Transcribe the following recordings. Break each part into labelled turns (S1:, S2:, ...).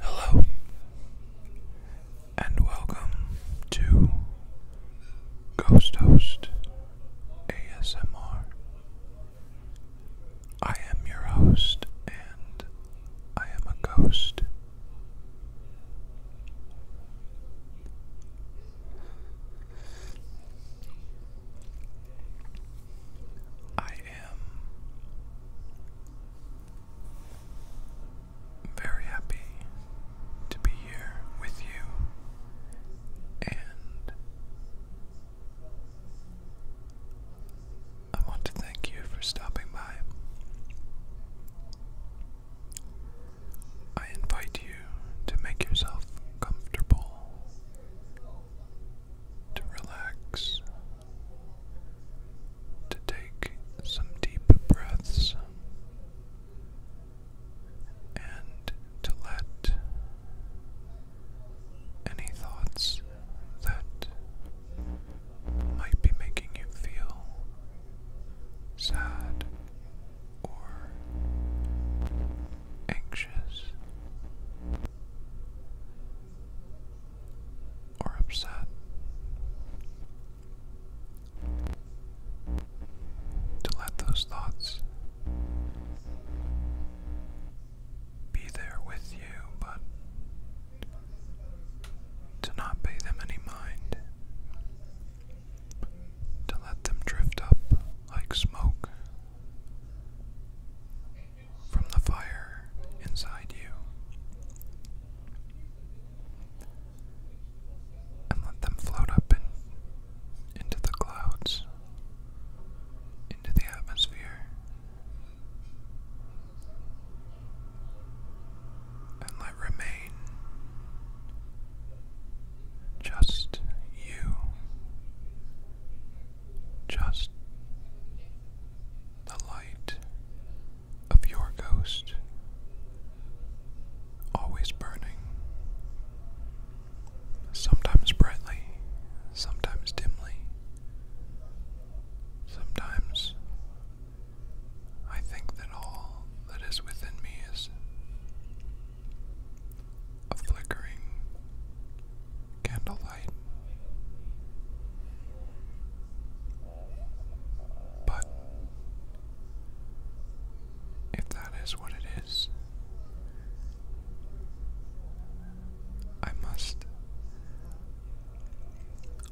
S1: Hello, and welcome to Ghost Host ASMR. I am your host, and I am a ghost. I am very happy to be here with you, and I want to thank you for stopping by. I invite you to make yourself comfortable to relax, to take some deep breaths, and to let any thoughts that might be making you feel sad or anxious, or upset. To let those thoughts be there with you, but to not pay them any mind, to let them drift up like smoke from the fire inside you. And let them float up into the clouds, into the atmosphere, and let remain just you just the light of your ghost always burning, sometimes brightly, sometimes dimly. Sometimes I think that all that is within me is a flickering candlelight. But if that is what it is, I must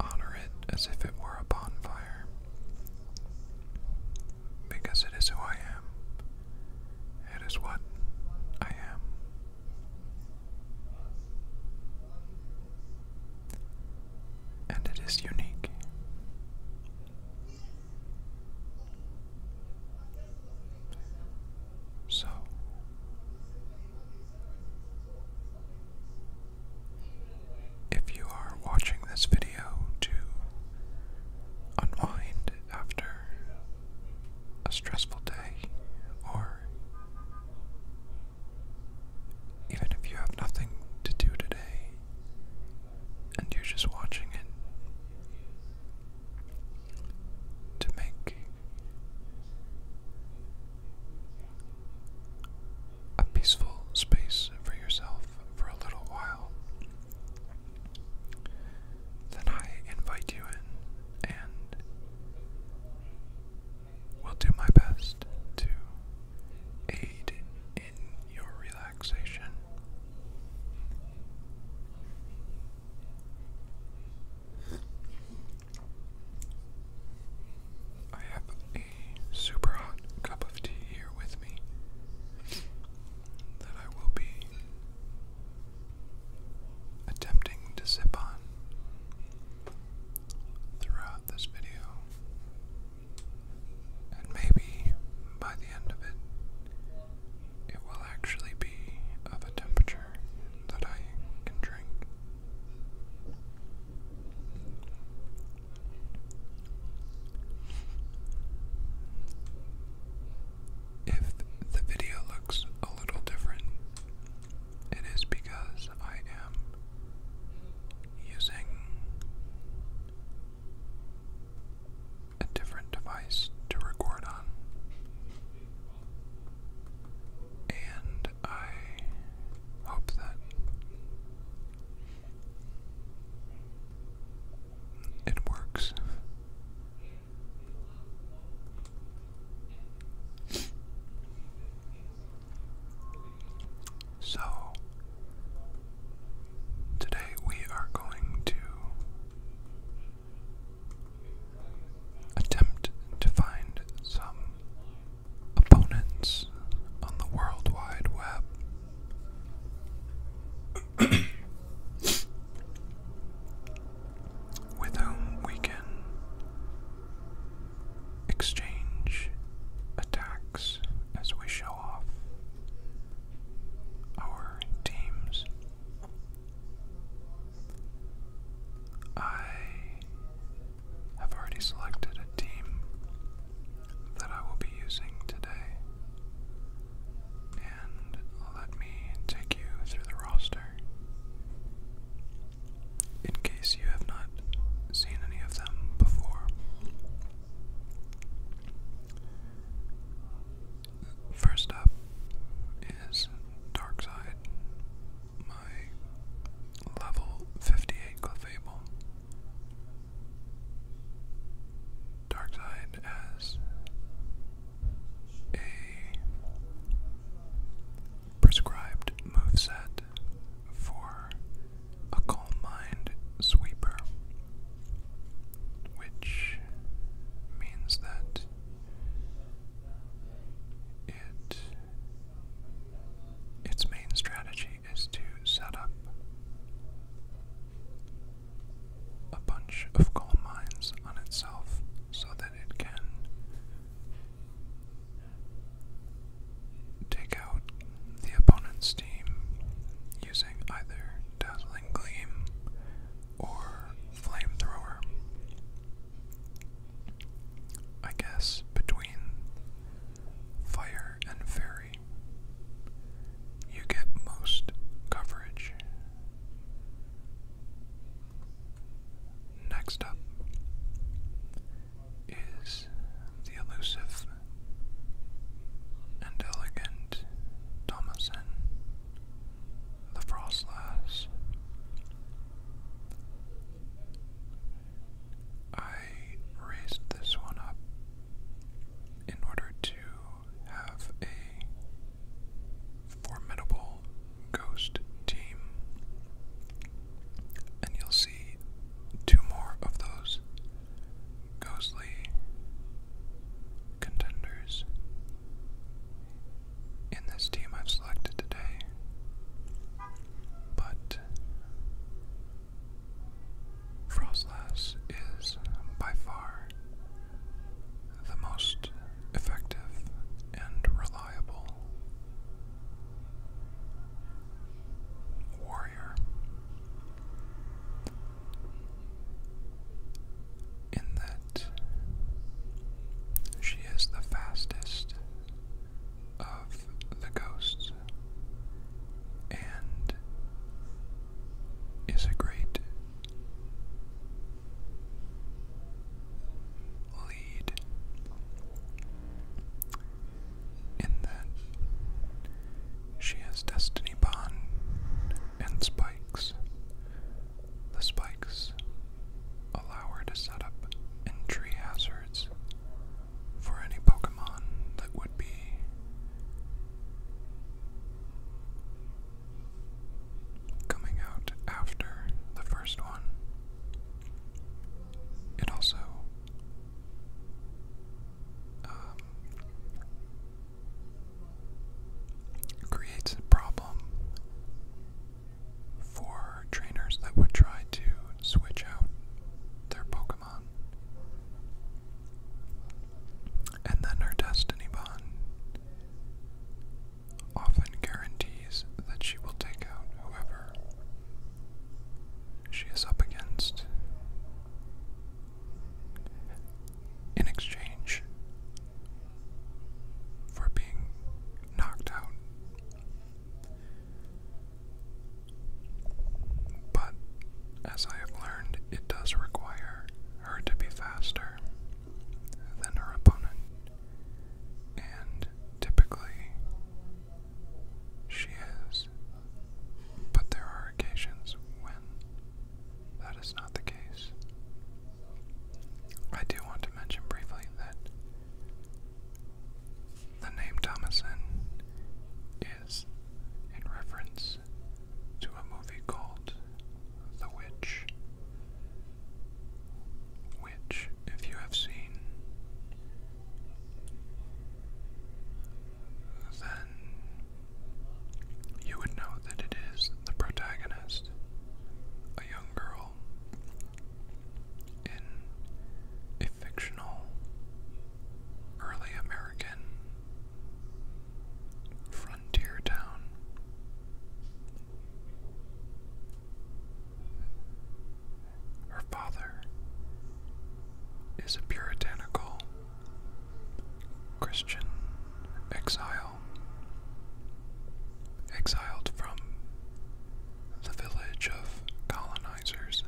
S1: honor it as if it were a bonfire because it is who I am. It is what I am. And it is unique. So, if you are watching this video to unwind after a stressful day, or even if you have nothing to do today and you're just watching it, to make a peaceful space for yourself for a little while then I invite you in and will do my best to aid in your relaxation. I have a super hot cup of tea here with me that I will be attempting to sip on throughout this video. And maybe by the end of it, it will actually be of a temperature that I can drink. If the video looks a little different, it is because I am using a different device to record on. And I hope that it works. So, today we are going to attempt to find some opponents on the World Wide Web with whom we can exchange attacks as we show off our teams. I have already selected a team that I will be using today and let me take you through the roster. In case you have not seen any of them before. First up is Darkside, my level 58 Clefable. Darkside has a prescribed moveset for a calm mind sweeper, which means that it its main strategy is to set up a bunch of coal mines on itself so that it can take out the opponent's team using either Dazzling Gleam or Flamethrower. I guess between Fire and Fairy, you get most coverage Next up is the elusive and elegant Thomason the Frostlass. I raised this one up in order to have a formidable ghost team. And you'll see two more of those ghostly contenders in this team I've selected today. But Frostlass is by far the most effective and reliable warrior. In that she is the fastest of the ghosts and is a great lead in that she has destiny bond and spikes. The spikes allow her to set up entry hazards for any Pokemon that would be coming out after the first one. It also um, creates a problem for trainers that would try to switch out their Pokemon. And then her destiny bond often guarantees that she will take out whoever she is up against. In exchange for being knocked out. But as I have learned, it does require her to be faster than her opponent, and typically she is, but there are occasions when that is not the case. I do want to mention briefly that the name Thomason is in reference to a movie called The Witch, which, if you have seen, then you would know that it is the protagonist, a young girl, in a fictional early American Frontier Town. Her father is a puritanical Christian exile, exiled from the village of colonizers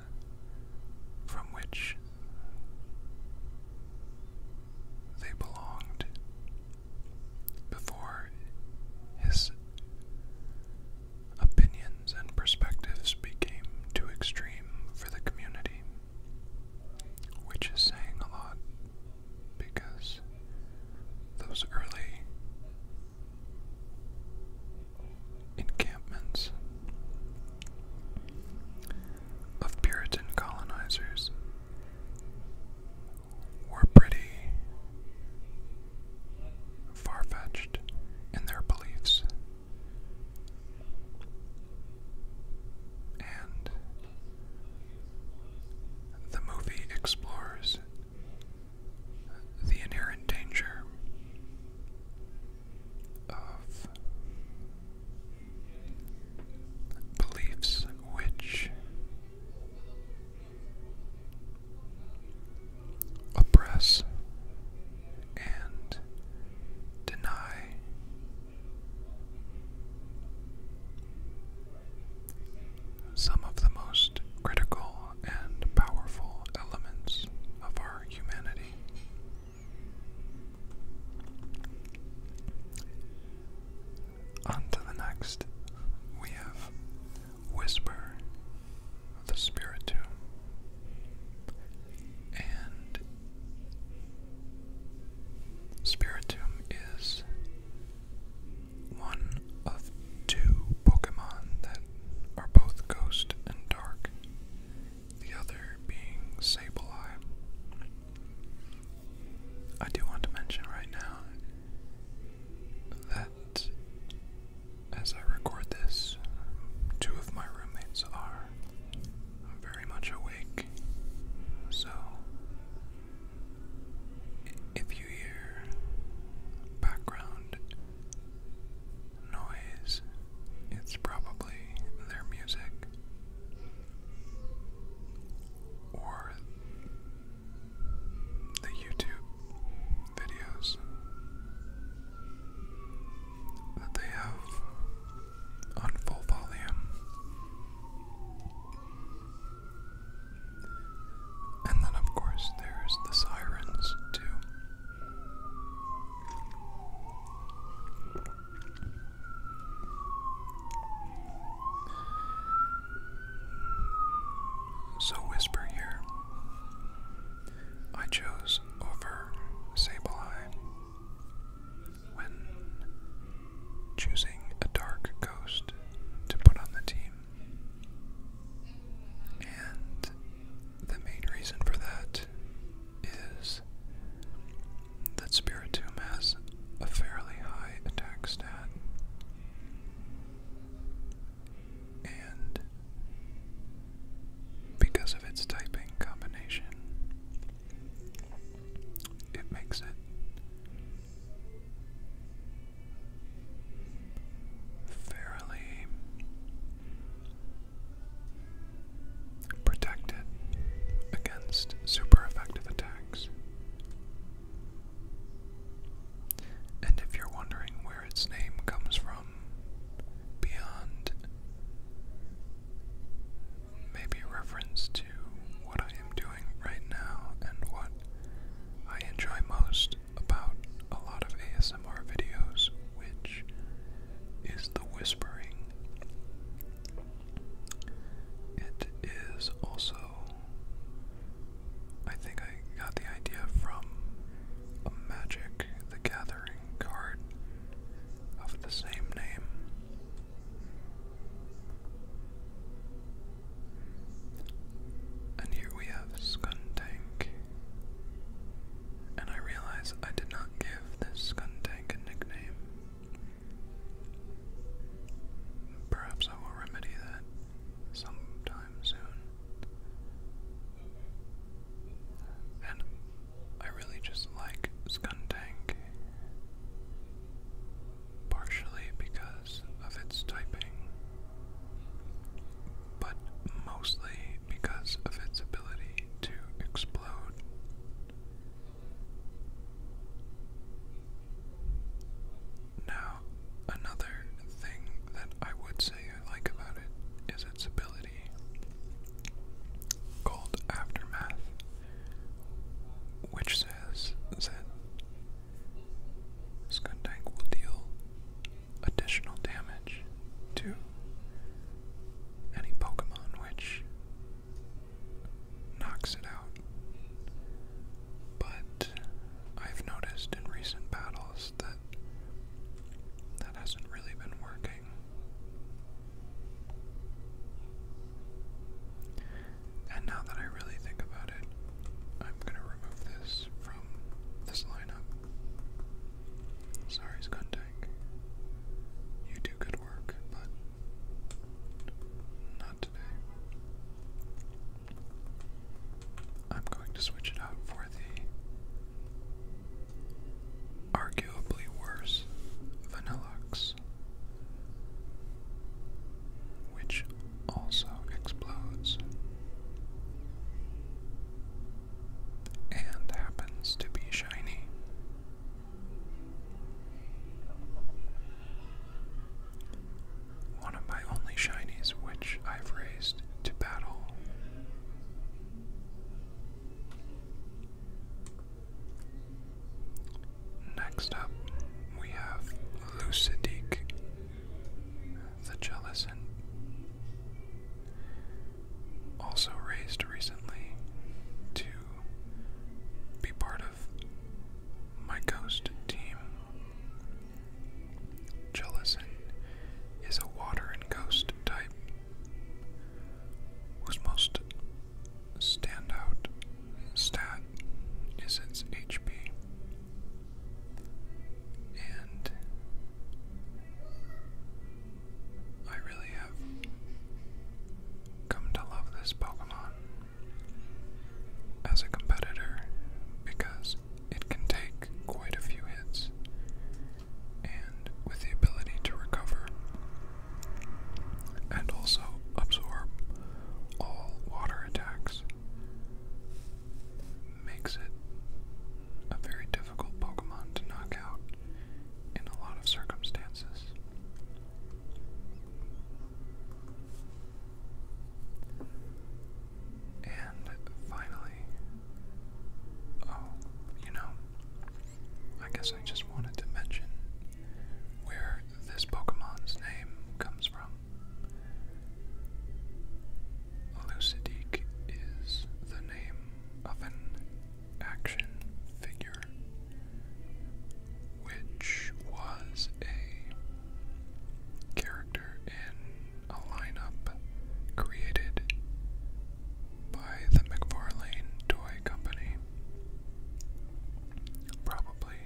S1: from which they belonged before his opinions and perspectives became too extreme for the community, which is saying a lot because those early encampments of Puritan colonizers were pretty far fetched in their beliefs. And the movie explores the inherent danger of beliefs which oppress and deny some of the most critical and powerful elements of our humanity. On to the next, we have Whisper the Spirit Tomb. And Spirit is one of two Pokemon that are both ghost and dark, the other being Sableye. I do want to mention right now that as I record this, two of my roommates are very much awake. So if you hear background noise, it's probably their music or the YouTube videos that they have on full volume. And then, of course, there's the sirens, too. So, Whisper here. I chose over Sableye when choosing a dark ghost to put on the team. And the main reason for that is that Spiritomb has a fairly high attack stat. And because of its typing combination, it makes it fairly protected against super effective attacks. And if you're wondering where its name comes from, beyond maybe reference to what I am doing right now and what I enjoy most about a lot of ASMR videos, which is the whispering it is also, I think I got the idea from a Magic the Gathering card of the same name. And here we have Skuntank. And I realize I did not give this Skuntank a nickname. Perhaps I will remedy that sometime soon. And I really just like Skuntank, partially because of its typing, but mostly because of its ability to explode now, another thing that I would say I like about it is its ability called Aftermath, which says that Skundank will deal additional damage to any Pokemon which knocks it out. But I've noticed in recent battles that that hasn't really been working. And now that I really think about it, I'm gonna remove this from this lineup. Sorry, Skuntank. You do good work, but not today. I'm going to switch it out for the arguably worse Vanillux, which also explodes and happens to be shiny. One of my only shinies, which I've raised to battle. Next up, we have Lucidique, the Jellicent, also raised recently to be part of my ghost team. Jellison is a water and ghost type whose most standout stat is its HP. And I really have come to love this Pokemon as a competitor because it can take quite a few hits, and with the ability to recover and also absorb all water attacks, makes it a very difficult Pokemon to knock out in a lot of circumstances. And finally, oh, you know, I guess I just wanted to mention where this Pokemon's name comes from. Lucidique is the name of an action figure which was a character in a lineup created by the McFarlane Toy Company probably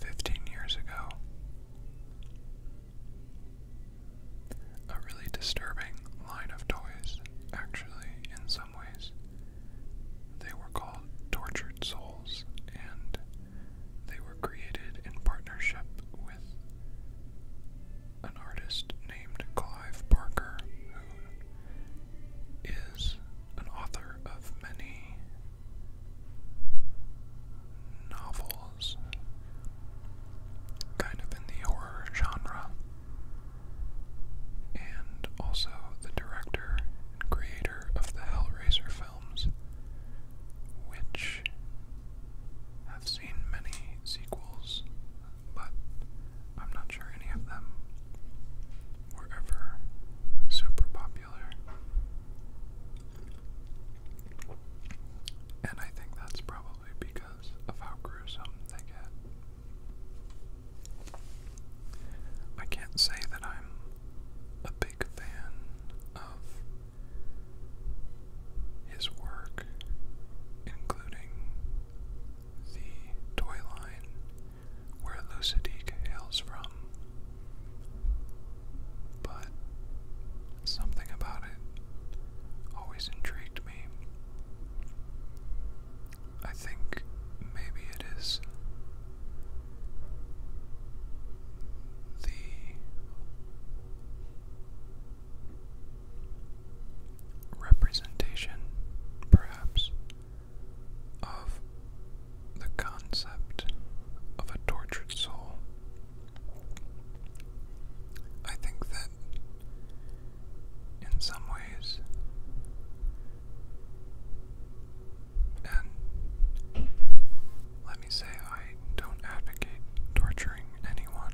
S1: 15 years ago. A really disturbing line of toys, actually, ways. They were called tortured souls, and they were created in partnership with an artist named Clive Barker, who is an author of many novels, kind of in the horror genre and also the director and creator of the Hellraiser films, which have seen many sequels, but I'm not sure any of them were ever super popular. And I think that's probably because of how gruesome they get. I can't say that I'm a big fan of his work, including the toy line where Lucidique hails from, but something about it always intrigued me. I think maybe it is the representation, perhaps, of the concept of a tortured soul. I think that in some ways and let me say, I don't advocate torturing anyone.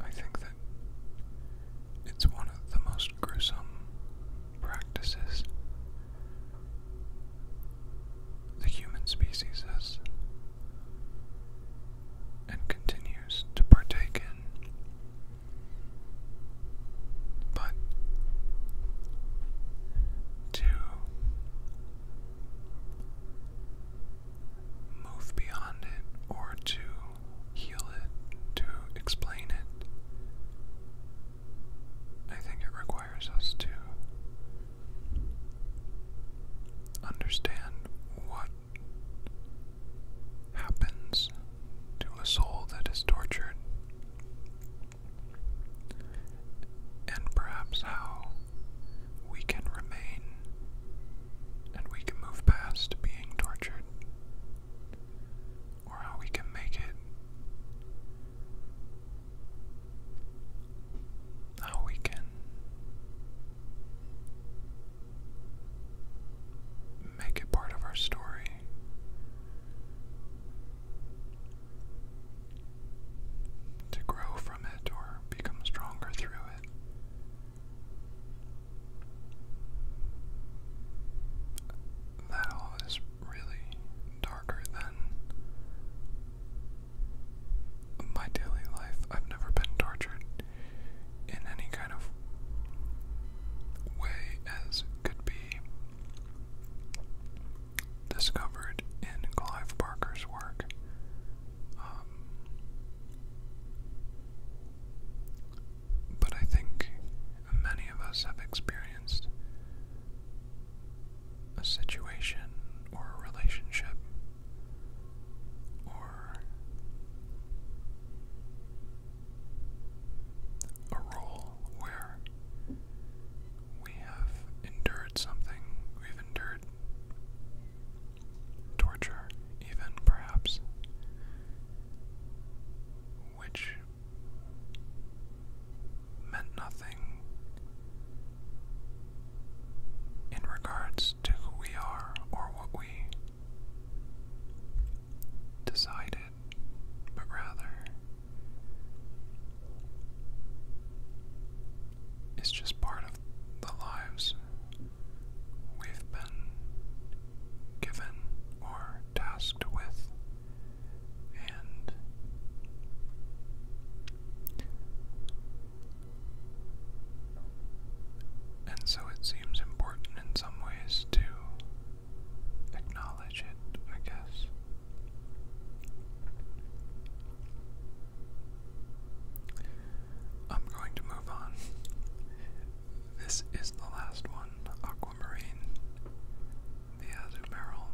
S1: I think that it's one of the most gruesome practices the human species has and continues to partake in but to move beyond it or to heal it, to explain it, I think it requires us to understand what happens to a soul that is tortured, and perhaps how we can remain and we can move past being tortured, or how we can make it. How we can make it part of our story to grow from it or become stronger through it. That all is really darker than my daily life. I've never been tortured in any kind of way as could be discovered in Clive Barker's work. Um, but I think many of us have experienced a situation or relationship or a role where we have endured something, we've endured torture, even perhaps, which meant nothing in regards to who we are or what we decided it, but rather it's just part of the lives we've been given or tasked with, and and so it seems important in some ways to acknowledge it, I guess. I'm going to move on. This is the last one Aquamarine, the Azumarill.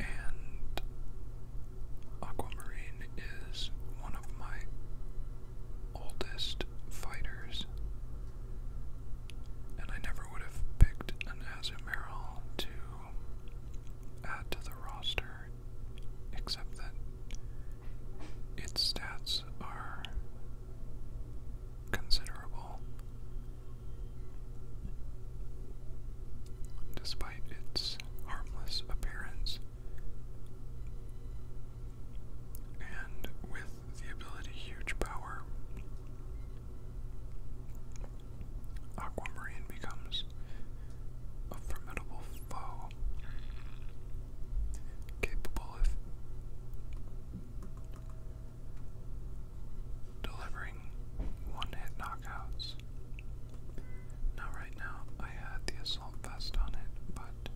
S1: And Aquamarine is one of my oldest fighters. And I never would have picked an Azumarill to add to the roster, except that its stats are considerable. Despite its harmless appearance, and with the ability Huge Power, Aquamarine becomes a formidable foe, capable of delivering one hit knockouts. Now, right now, I had the Assault on it, but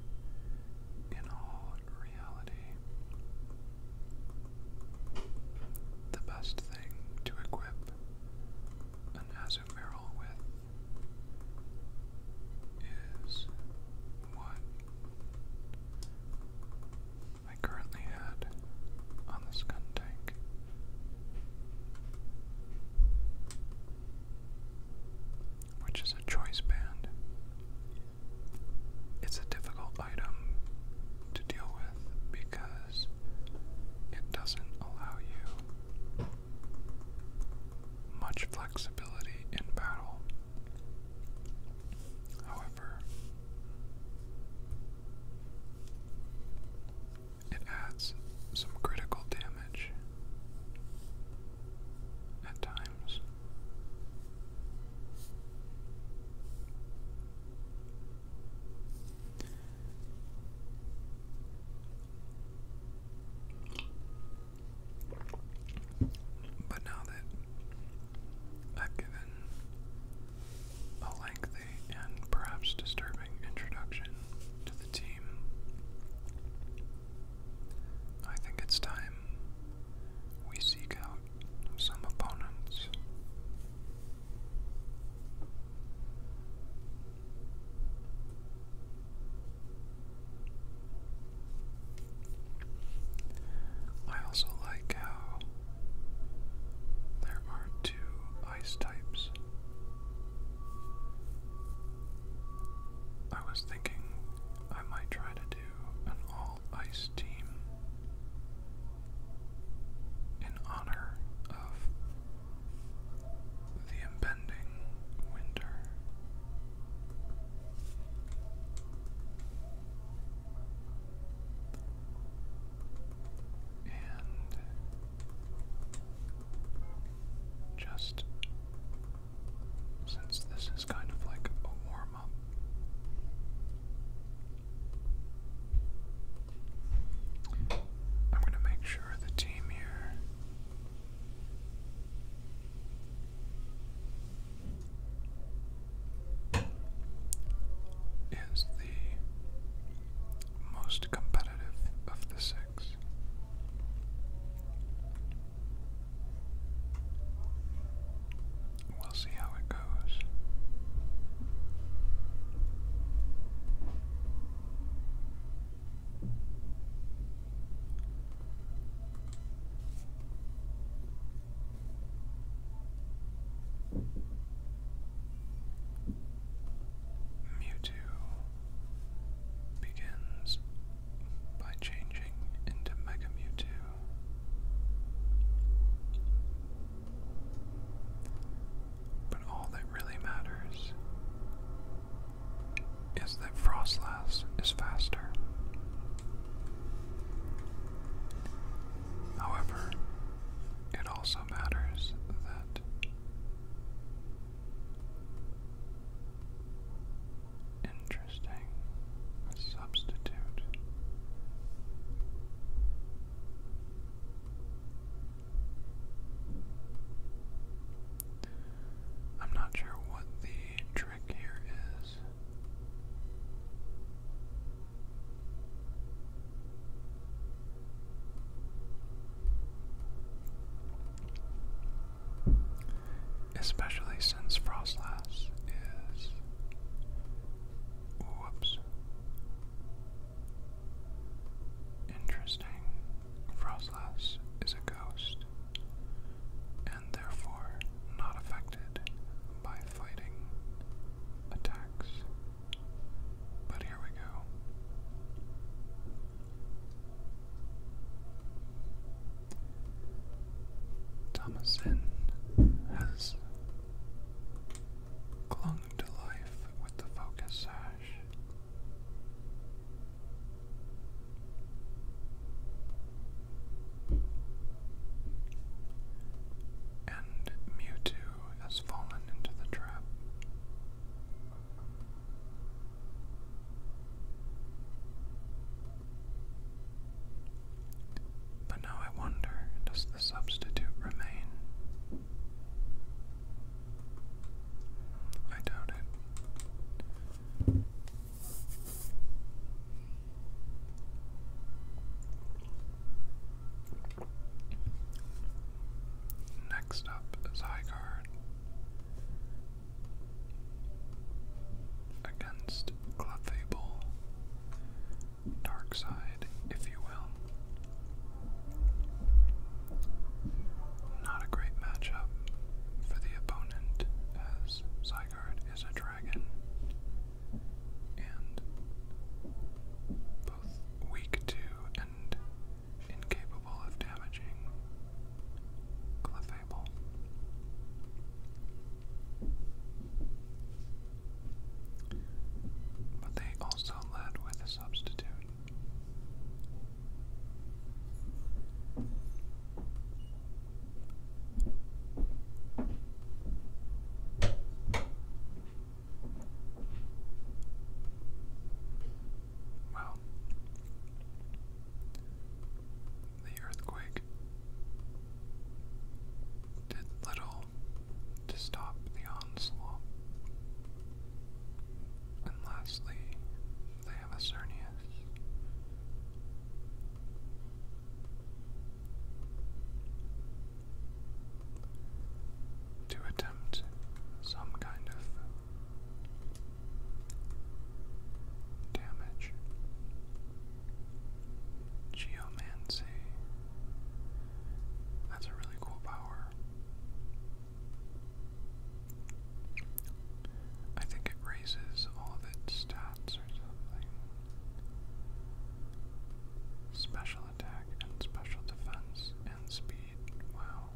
S1: in all reality, the best thing to equip an Azumarill with is what I currently had on the Skun Tank which is a choice band. It's a difficult item to deal with because it doesn't allow you much flexibility in battle. However, it adds some critical damage at times times. But now that I've given a lengthy and perhaps disturbing introduction to the team, I think it's time we seek out some opponents. I also like how there are two ice types. I was thinking I might try to do an all ice team in honor of the impending winter. And just since this is kind of like a warm up. I'm going to make sure the team here is the most competitive of the six. We'll see how it goes. Mewtwo begins by changing into Mega Mewtwo. But all that really matters is that Frostlass is faster. However, it also matters that Interesting. substitute. I'm not sure what the trick here is. Especially since Frostlass is. Whoops. Interesting. Frostlass is a ghost, and therefore not affected by fighting attacks. But here we go. Thomason has clung to life with the focus sash. And Mewtwo has fallen into the trap. But now I wonder, does the substitute remain? I doubt it. Next up, Zygarde against Clefable, dark side, if you will. Not a great matchup for the opponent, as Zygarde is a dragon, and both weak to and incapable of damaging Clefable. But they also led with a substitute. Well, the earthquake did little to stop the onslaught. And lastly, they have a Cernius. To attempt some kind of Damage. Geomancy. That's a really cool power. I think it raises all of its stats or something. Special attack and special defense and speed. Wow.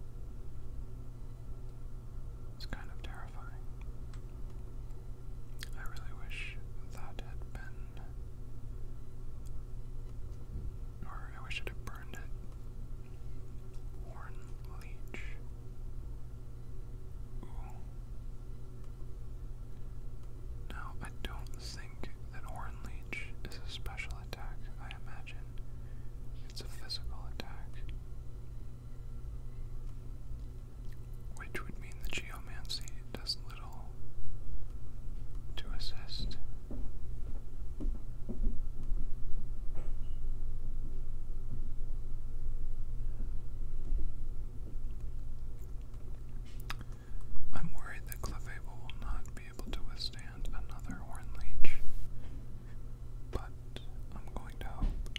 S1: It's kind of terrifying. I really wish that had been. Or I wish it had burned it. Warren Now, I don't think that Warren is a special attack. I imagine it's a physical attack. Which would mean the geomancy does little to assist. I'm worried that Clefable will not be able to withstand another Horn Leech but I'm going to hope.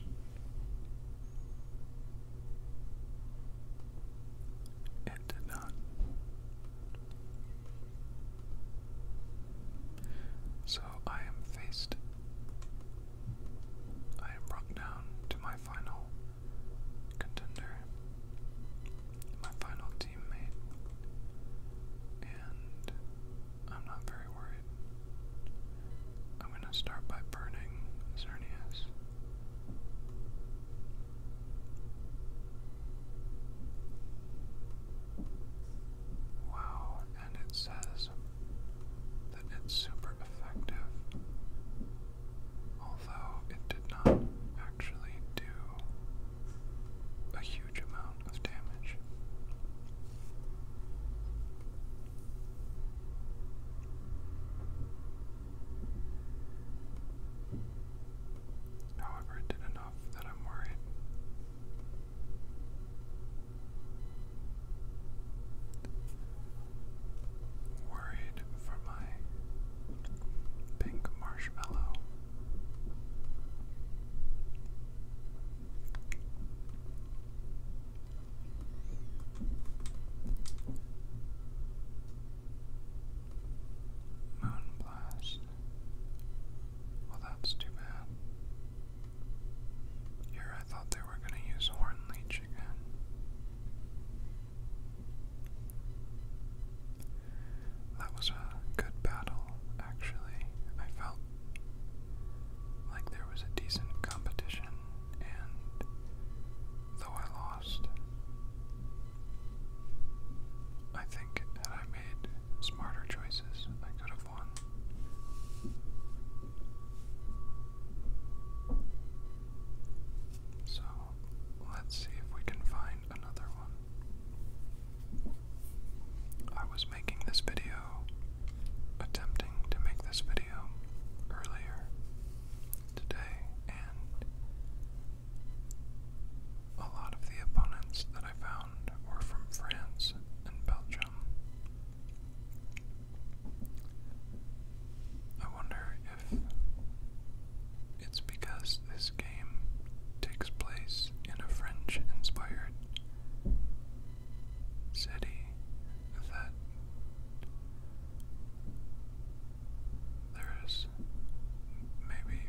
S1: It did not. So I am faced. I am brought down to my final contender, my final teammate, and I'm not very worried. I'm going to start by burning Xerneas. Wow, and it says that it's super effective, although it did not actually do a huge amount of damage. However, it did enough that I'm worried. Worried for my pink marshmallow. Moonblast. Well, that's too bad. Here I thought they were going to use Horn again. That was a good battle, actually. I felt like there was a decent competition, and though I lost, I think had I made smarter choices, I could have won. So let's see if we can find another one. I was making this video, attempting to make this video earlier today, and a lot of the opponents that I found were from France and Belgium. I wonder if it's because this game takes place in a French inspired city that there is maybe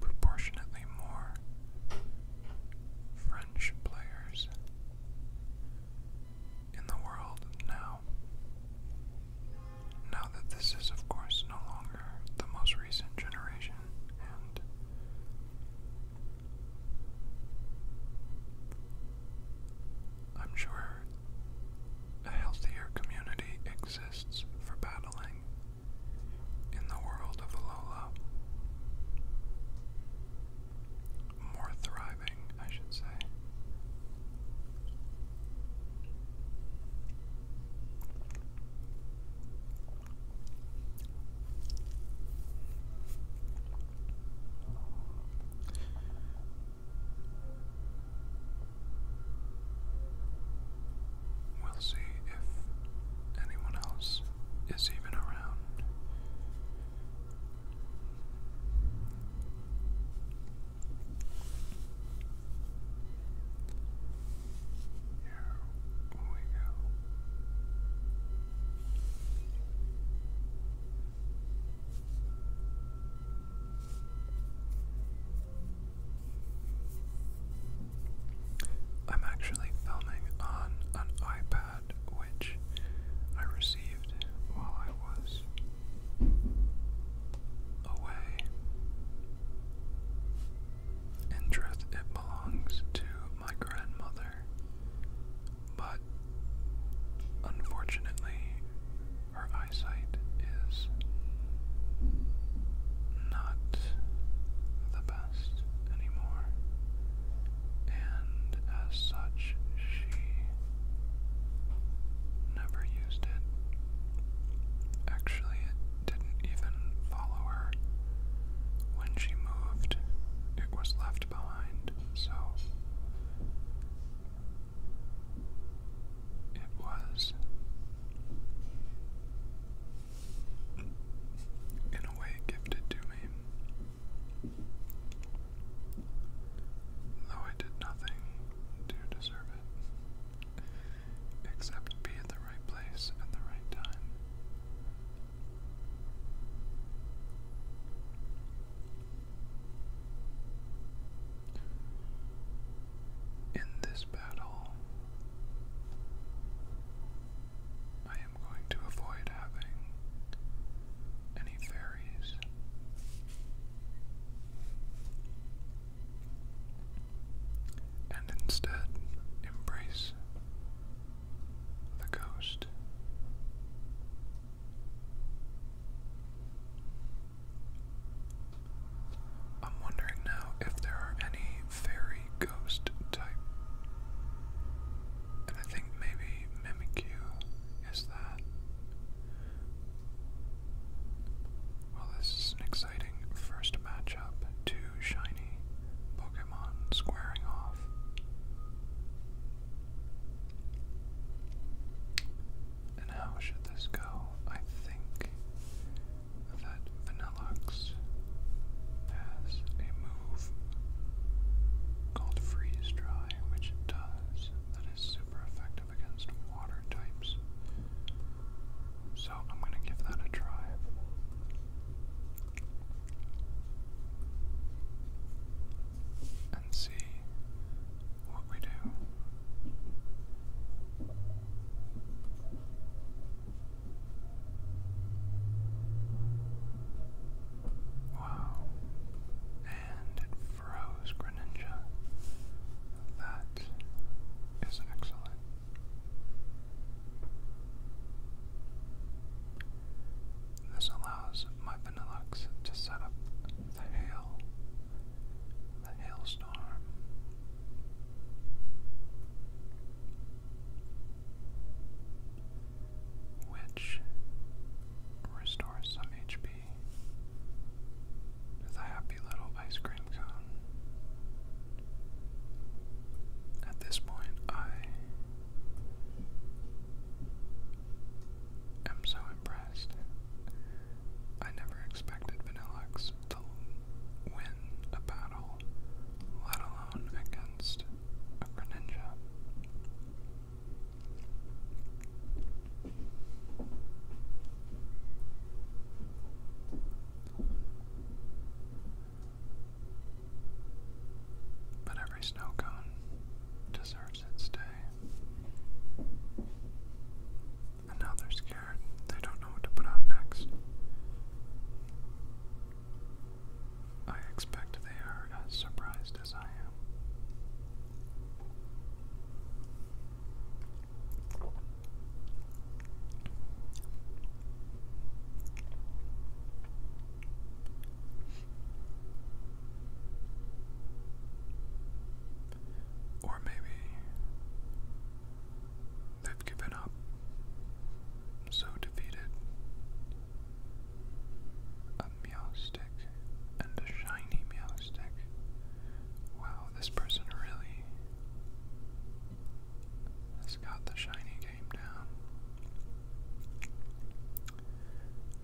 S1: proportionately more French players in the world now. Now that this is, of course, no longer the most recent generation, and I'm sure a healthier community exists for battling in the world of Alola. More thriving, I should say. We'll see if anyone else is even around. Here we go. I'm actually filming on an iPad which I received while I was away. In truth, it belongs to my grandmother, but unfortunately, her eyesight is not the best anymore, and as such, she never used it. Actually, it didn't even follow her. When she moved, it was left left behind, so it was, in a way, gifted to me, though I did nothing to deserve it, except be at the right place at the right time. In this battle, I am going to avoid having any fairies. And instead, embrace the ghost. I'm wondering now if there are any fairy ghost type. And I think maybe Mimikyu is that. Well, this is an exciting first matchup. Two shiny Pokemon squaring off. And how should this go? I think that Vanillux has a move called Freeze Dry, which it does, that is super effective against water types. So I'm going to give that a try and see what we do. Wow. And it froze Greninja. That is excellent. This allows my Benelux to set up the hail, the hailstorm. Which restores some HP the happy little ice cream cone. At this point, I I'm so impressed. I never expected Vanillux to win a battle, let alone against a Greninja. But every snow cone deserves its day. And now they're scared. They don't know what to put out next. I expect they are as surprised as I am. Or maybe they've given up, so defeated. A meow stick and a shiny meow stick. Wow, this person really has got the shiny game down.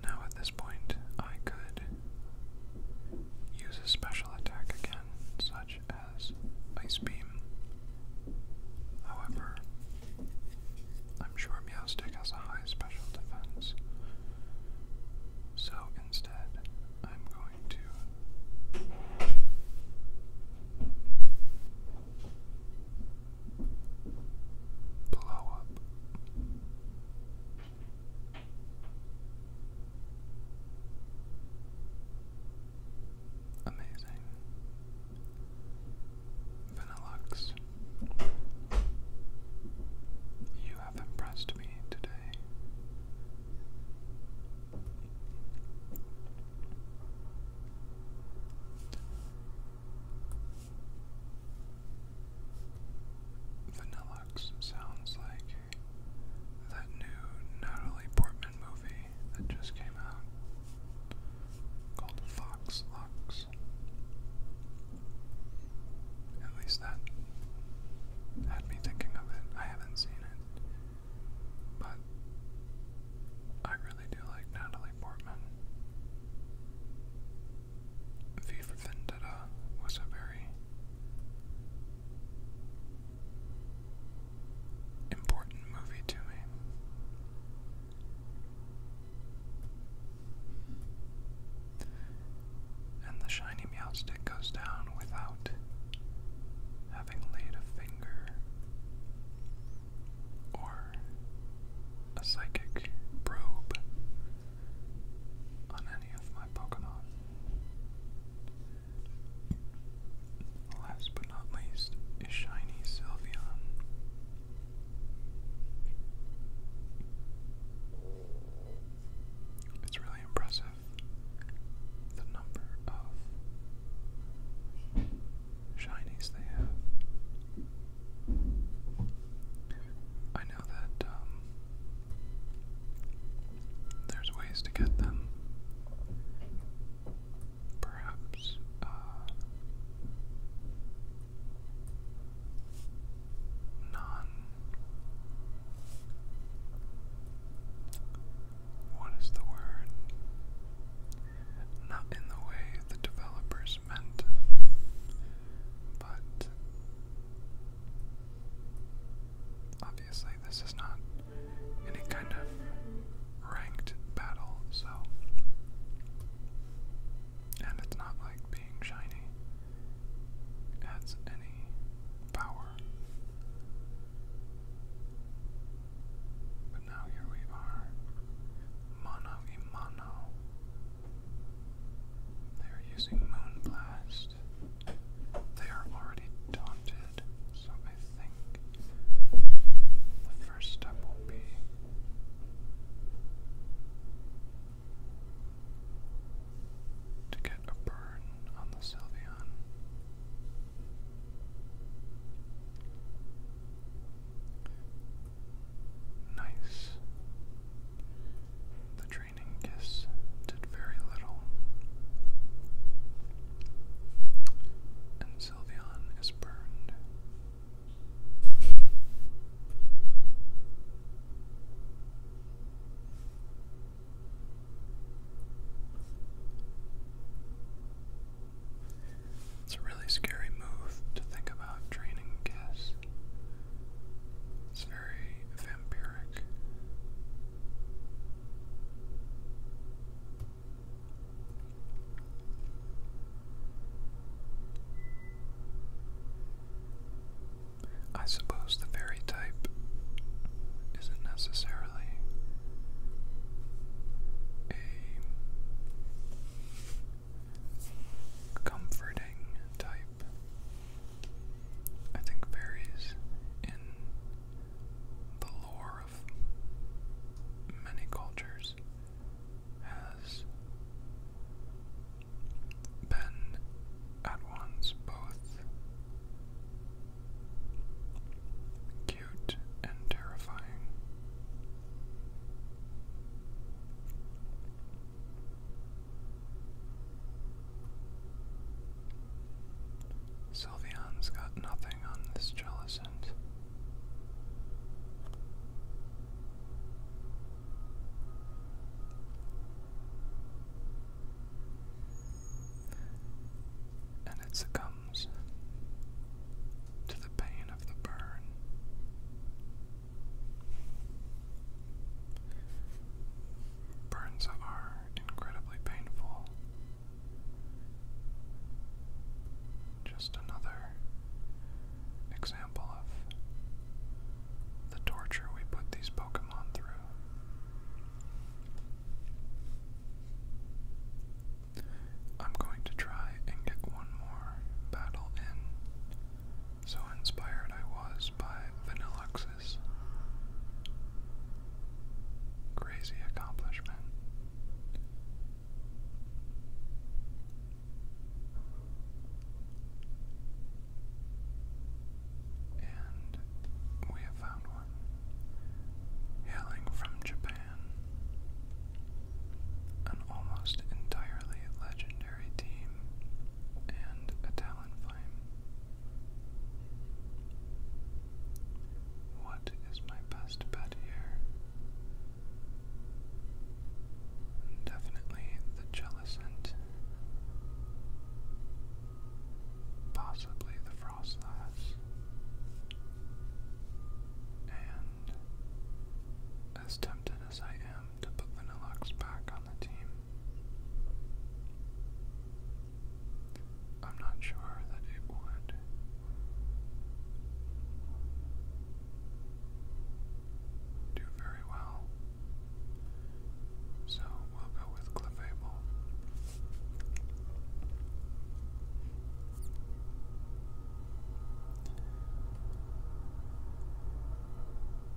S1: Now, at this point, I could use a special attack again, such as Ice Beam. However, I'm sure Meowstic has a high special defense, so instead, I'm going to blow up. Amazing. Benelux, you have impressed me today. Vanillux sounds like that new Natalie Portman movie that just came out called Fox Lux. At least that had me thinking of it. I haven't seen it. But I really do like Natalie Portman. V for Vendetta was a very important movie to me. And the shiny meow stick goes down without having laid a finger or a psychic probe on any of my Pokemon. Last but not least is Shiny Sylveon. It's really impressive the number of shinies they have. I know that um, there's ways to get them. Perhaps uh, What is the word? not in the way the developers meant, but obviously, this is not any kind of ranked battle, so. And it's not like being shiny adds any power. But now here we are. Mono Imano. They are using Moonblast. They are already daunted, so I think the first step will be to get a burn on the Sylveon. Nice. The training kiss did very little. And Sylveon is burned. It's a really scary move to think about draining gas. It's very vampiric. I suppose the fairy type isn't necessarily a comforting type, I think varies in the lore of many cultures, has been at once both cute and terrifying. Sylveon's got nothing on this Jellicent. And it succumbs to the pain of the burn. Burns are incredibly painful. Just another example of the torture we put these Pokemon through. I'm going to try and get one more battle in. So inspired I was by Vanilux's crazy accomplishment. And we have found one. Hailing from Japan, an almost entirely legendary team and a talent flame. What is my best bet here? Definitely the Jellicent. Possibly the Frostlass. And as tempted as I am to put Vanillax back on the team. I'm not sure that it would. Do very well. So we'll go with Clefable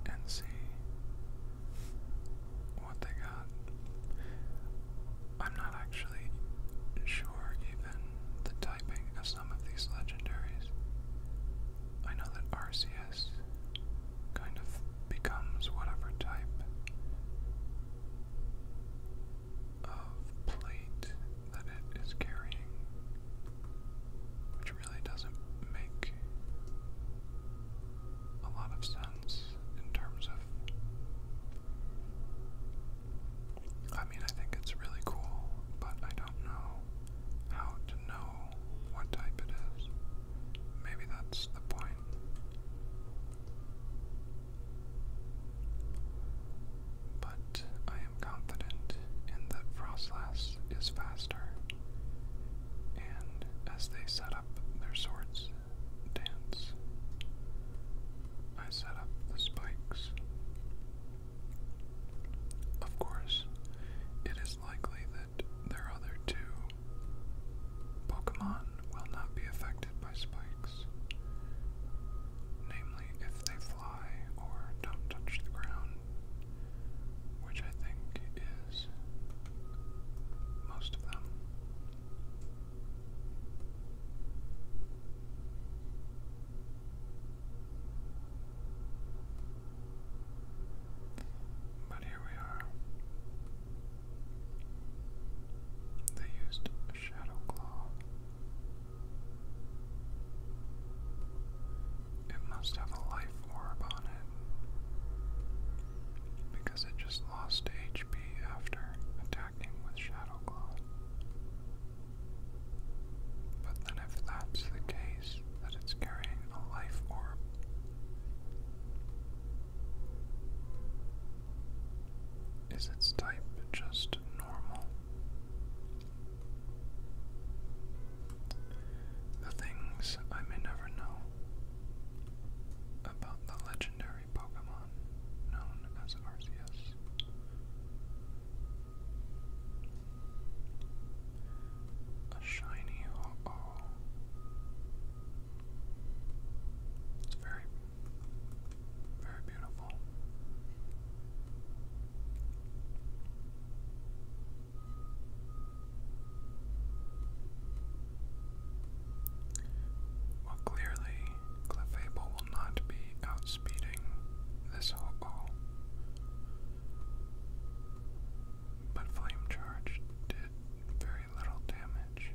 S1: and see what they got. I'm not actually sure even the typing of some of these legendaries. I know that Arceus kind of becomes whatever type of plate that it is carrying, which really doesn't make a lot of sense in terms of. I mean, I think it's really cool, but I don't know how to know what type it is. Maybe that's the point but I am confident that Frostlass is faster, and as they set up their swords dance, I set up the spikes. Of course, it is likely that their other two Pokemon will not be affected by spikes, namely if they fly or don't touch the ground, which I think is most of them. But here we are. They used Shadow Claw it must have a life orb on it because it just lost HP after attacking with Shadow Claw. But then, if that's the case, that it's carrying a life orb. Is its type just normal? The things I may never know about the legendary Pokemon known as Arceus. A shiny Ho-Oh. It's very well, clearly, Clefable will not be outspeeding this hobo. But Flame Charge did very little damage.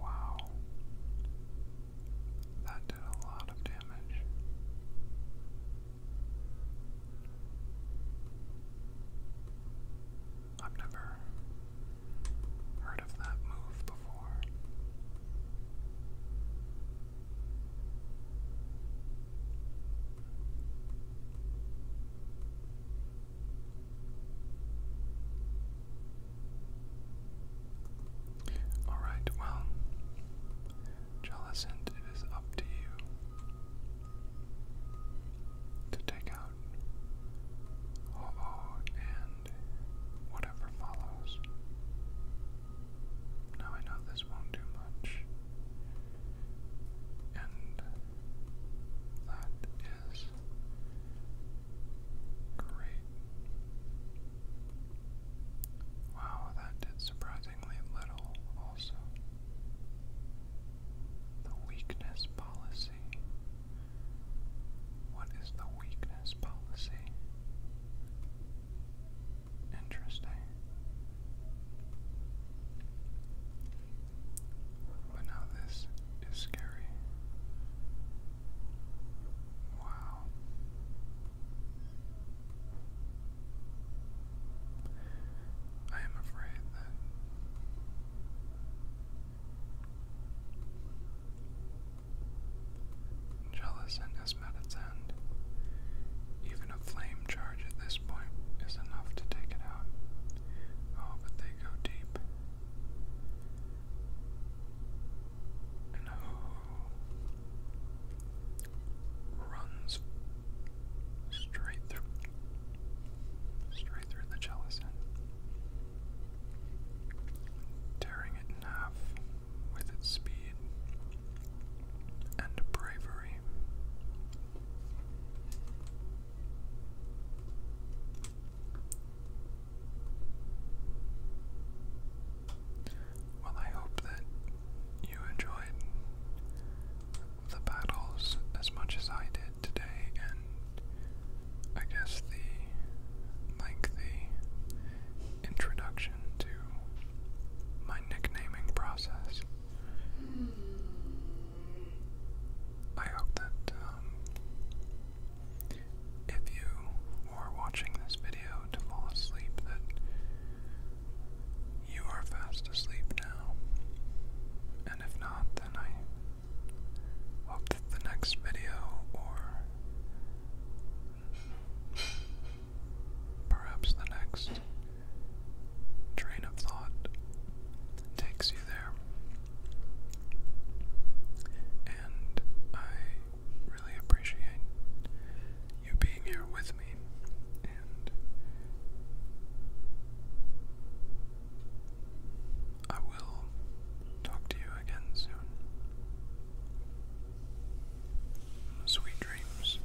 S1: Wow. That did a lot of damage. I've never heard of that move before. Alright, well, Jellicent, it is up to you to take out Oh, and whatever follows. Now I know this won't do much. And that is great. Wow, that did surprisingly little also. The weakness policy. What is the weakness policy? Interesting. But now this is scary. Wow. I am afraid that jealous and his medicine, even a flame charge at this point is enough to take it out. Oh, but they go deep. And oh, runs straight through, straight through the Jellison, tearing it in half with its speed and bravery. Well, I hope that you enjoyed the battles as much as I did today, and I guess the lengthy introduction to my nicknaming process. Hmm. I hope that um, if you are watching this video to fall asleep, that you are fast asleep now. And if not, then I hope that the next video or perhaps the next train of thought takes you there. And I really appreciate you being here with me and I will talk to you again soon. Sweet dreams.